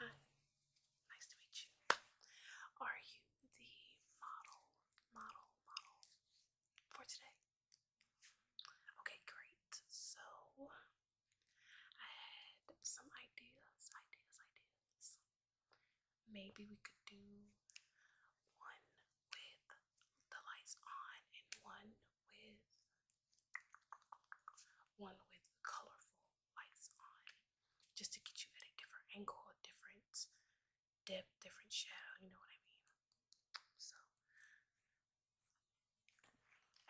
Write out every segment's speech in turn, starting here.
Hi, nice to meet you. Are you the model, model, model for today? Okay, great. So, I had some ideas, ideas, ideas. Maybe we could do one with the lights on and one with one with colorful lights on just to get you at a different angle, a different depth, different shadow, you know what I mean? So,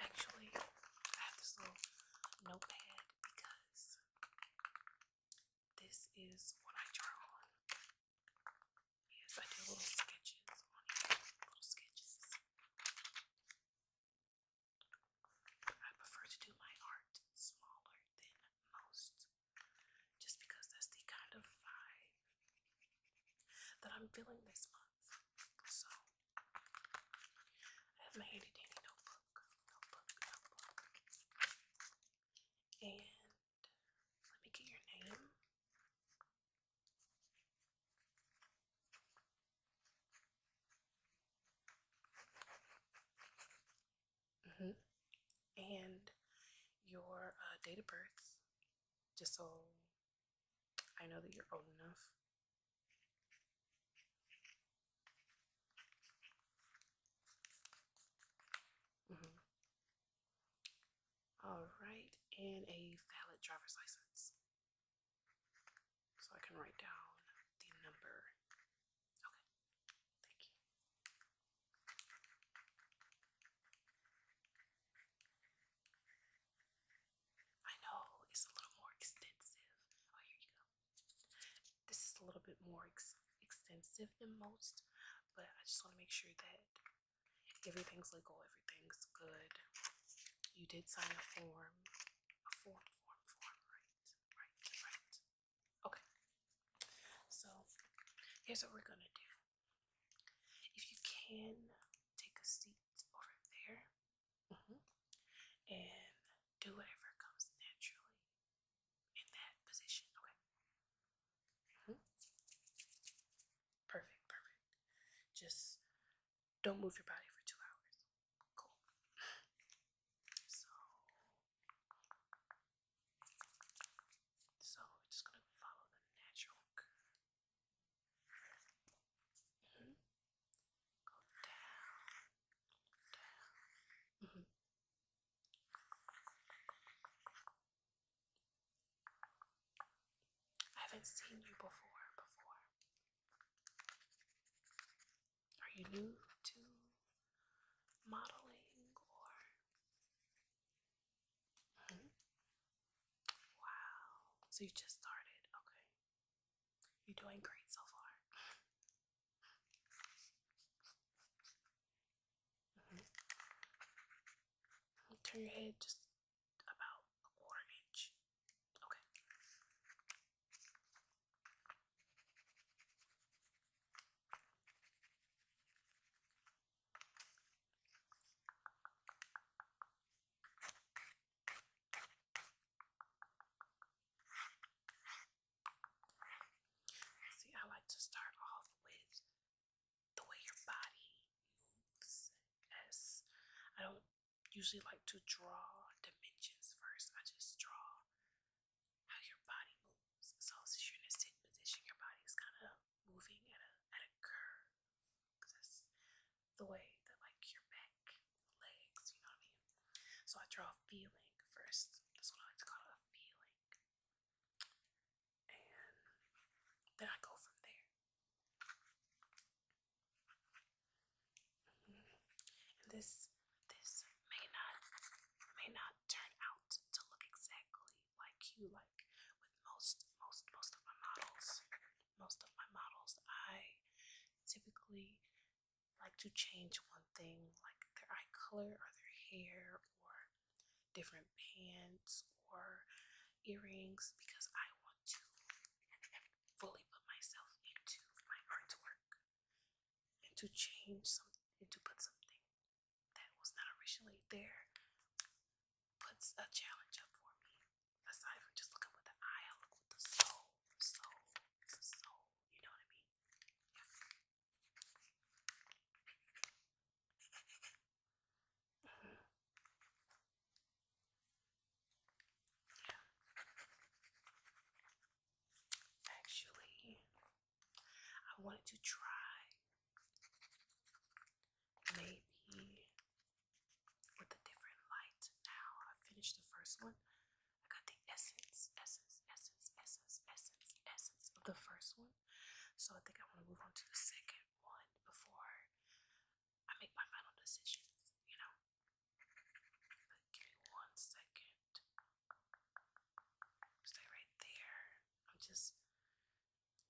actually, I have this little notepad because this is what I draw on. Yes, I do little sketches little sketches. I prefer to do my art smaller than most, just because that's the kind of vibe that I'm feeling this month. So I have my handy dandy notebook, and let me get your name. Mm hmm And your uh, date of birth, just so I know that you're old enough. Mm -hmm. All right, and a valid driver's license. So I can write down the number. Okay, thank you. I know it's a little more extensive. Oh, here you go. This is a little bit more extensive than most, but I just want to make sure that everything's legal, everything's good. You did sign a form Okay. So here's what we're gonna do. If you can take a seat over there mm-hmm. and do whatever comes naturally in that position, okay? Mm-hmm. Perfect, perfect. Just don't move your body for two hours. Cool. So, so we're just gonna follow the natural mm-hmm. Go down, down. Mm-hmm. I haven't seen you before, before. Are you new to modeling or? Hmm? Wow. So you just started. Okay. You're doing great so far. Mm-hmm. Turn your head just about a quarter inch. Okay. See, I like to start off with the way your body moves. As I don't usually like to draw dimensions first. I just draw how your body moves. So since you're in a sitting position, your body is kind of moving at a at a curve. Cause that's the way that like your back, legs, you know what I mean. So I draw a feeling first. That's what I like to call it a feeling. And then I go from there this this may not may not turn out to look exactly like you like with most most most of my models. Most of my models I typically like to change one thing like their eye color or their hair or different pants or earrings because I want to fully put myself into my artwork and to change something to put something that was not originally there puts a challenge up for me. Aside from just looking with the eye, I look with the soul, soul, soul. You know what I mean? Mm-hmm. Actually, I wanted to try maybe with a different light. Now I finished the first one. I got the essence, essence, essence, essence, essence, essence of the first one. So I think I want to move on to the second one before I make my final decision, you know give me one second. Stay right there. I'm just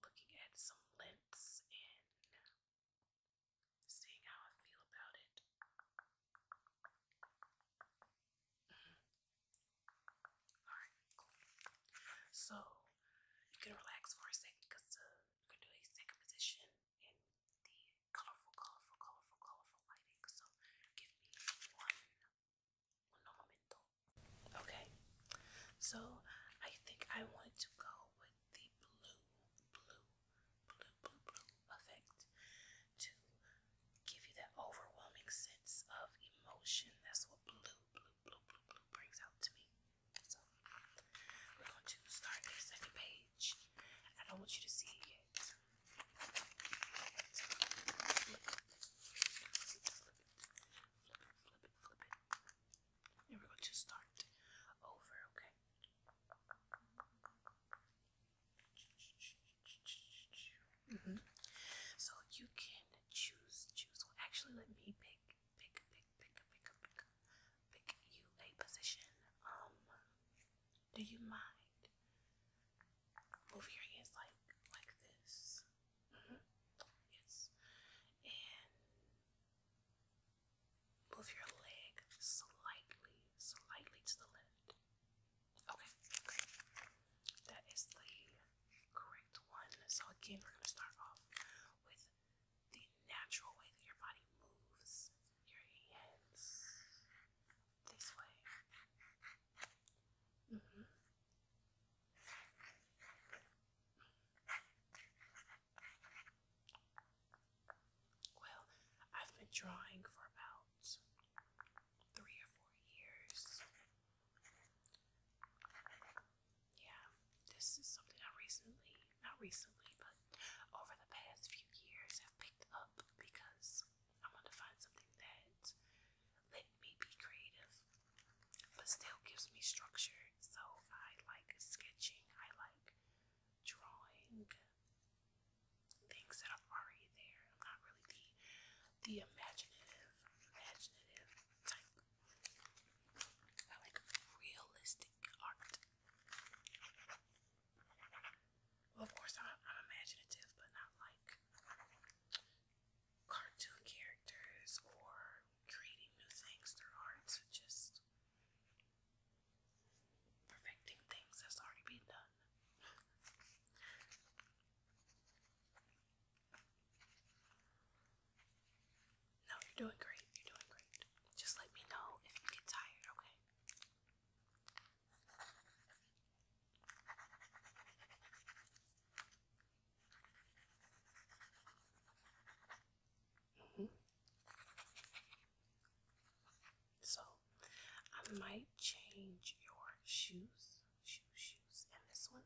looking at some lengths and seeing how I feel about it. Mm-hmm. Alright, So you can relax for a second because uh, you can do a second position the colorful, colorful, colorful, colorful lighting. So give me one, un Okay, so I think I want to go with the blue, blue, blue, blue, blue effect to give you that overwhelming sense of emotion. That's what blue, blue, blue, blue, blue brings out to me. So we're going to start the second page. I don't want you to see it flip it. Flip it, flip it, flip it, flip it. And we're going to start over, okay? -hmm. So you can choose, choose. actually, let me pick, pick, pick, pick, pick, pick, pick you a position. Um, do you mind? Move your hands like like this. Mm-hmm. Yes, and move your leg slightly, slightly to the left. okay. That is the correct one. So again, we're gonna start off with the natural way that your body moves your hands this way. Mm-hmm. Well, I've been drawing for about three or four years. Yeah, this is something I recently not recently, but over the past few years have picked up because I want to find something that let me be creative but still gives me structure. So I like sketching, I like drawing things that are already there. I'm not really the the imaginative imaginative type. I like realistic art of course, I'm, imaginative, but not like cartoon characters or creating new things through art, so just perfecting things that's already been done. No, you're doing great. You're doing great. Just let me know if you get tired, okay? Mm-hmm. So, I might change your shoes, shoes, shoes, and this one.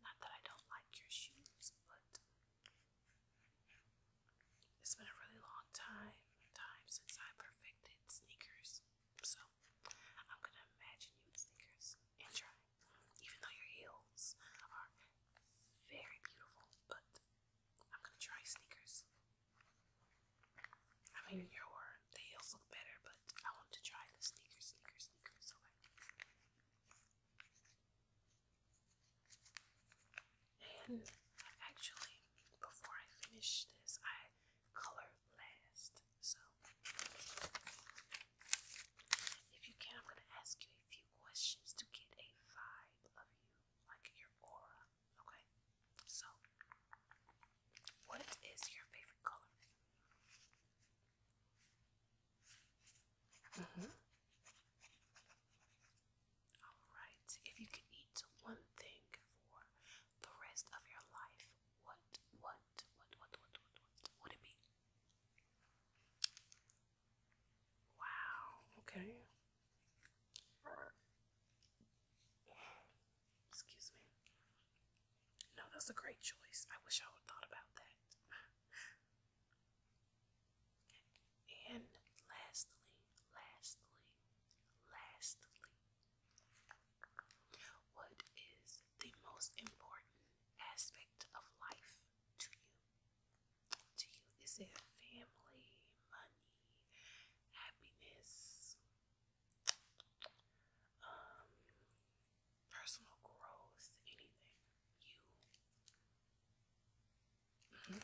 Not that I don't like your shoes, but it's been a really long time time since I perfected sneakers. So I'm gonna imagine you in sneakers and try. Even though your heels are very beautiful, but I'm gonna try sneakers. I mean, your the heels look better, but I want to try the sneakers, sneakers, sneakers. Okay. And actually, before I finish this, I color last. So, if you can, I'm going to ask you a few questions to get a vibe of you, like your aura. Okay? So, what is your favorite color? Mm-hmm. Alright, if you could eat one thing for the rest of your life, what, what, what, what, what, what, would it be? Wow, okay. Excuse me. No, that's a great choice. I wish I would thought about that. And lastly, lastly, lastly, what is the most important aspect of life to you? To you, is it family, money, happiness, um, personal growth, anything? You. Mm -hmm.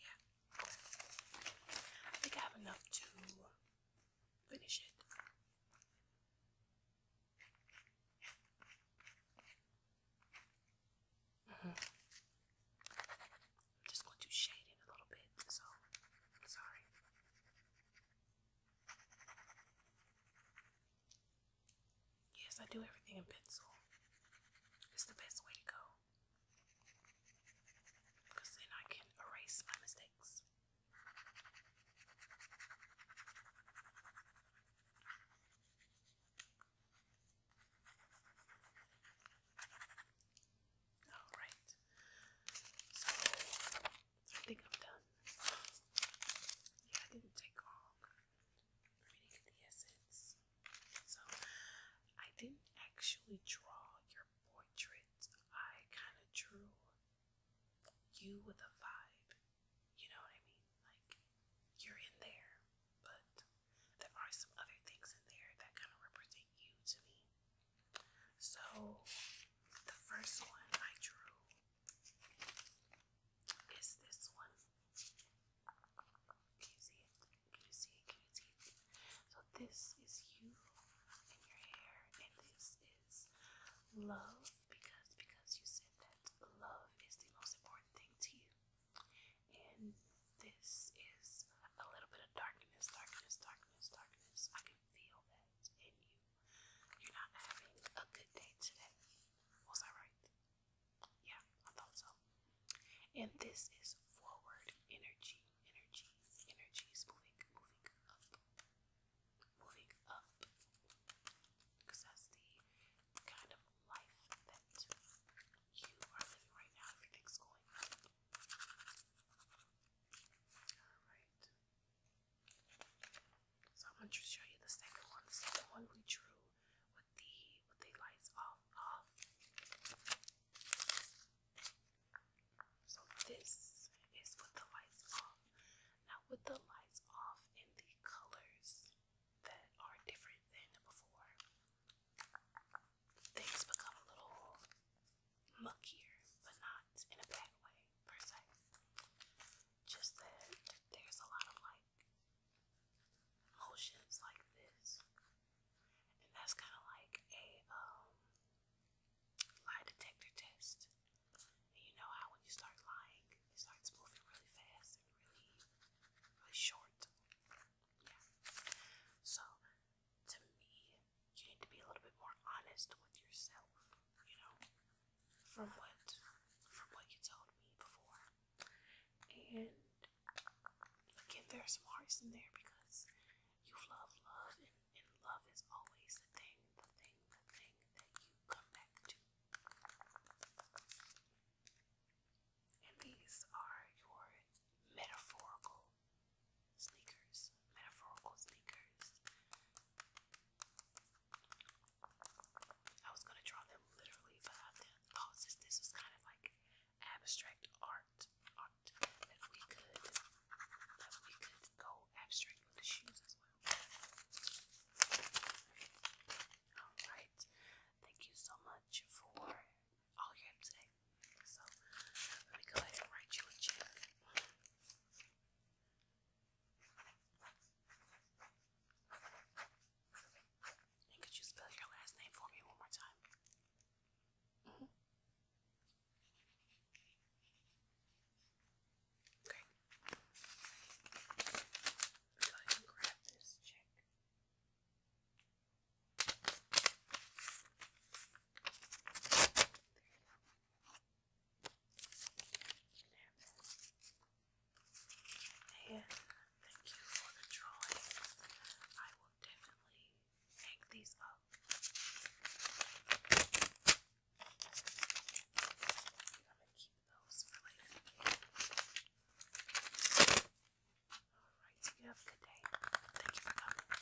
Yeah. I think I have enough to finish it. Mm-hmm. I'm just going to shade in a little bit, so sorry. Yes, I do everything in pencil. It's the best way to go. Because then I can erase my mistakes. Alright. I think I'm done. Yeah, I didn't take long for me get the essence. So, I didn't actually draw your portrait. I kind of drew you with a vibe. You know what I mean? Like, you're in there, but there are some other things in there that kind of represent you to me. So, the first one I drew is this one. Can you see it? Can you see it? Can you see it? So this is you and your hair, and this is love because because you said that love is the most important thing to you. And this is a little bit of darkness, darkness, darkness, darkness. I can feel that in you. You're not having a good day today. Was I right? Yeah, I thought so. And this is forward energy, energy, energy moving, moving up, moving up. Because that's the kind of life that you are living right now. Everything's going Alright. So I'm going to show you the second one. The second one we drew with the with the lights off So this is with the lights off. Now with the lights off and the colors that are different than before, things become a little muckier, but not in a bad way per se. Just that there's a lot of like motions like this. And that's kind of like a um, lie detector test. And you know how when you start lying, it starts moving really fast and really, really short. Yeah. So, to me, you need to be a little bit more honest with yourself, you know? from what from what you told me before. And again there's some hearts in there because you've loved love and love is always the thing, the thing, the thing that you come back to. And these are your metaphorical sneakers. Metaphorical sneakers. I was gonna draw them literally, but I thought since this was kind of like abstract art, we could we could go abstract with the shoes as well. Alright, thank you so much for all your have So let me go ahead and write you a check could you spell your last name for me one more time? Okay. And thank you for the drawing. I will definitely make these up. I'm gonna keep those for later. Alright, you have a good day. Thank you for coming.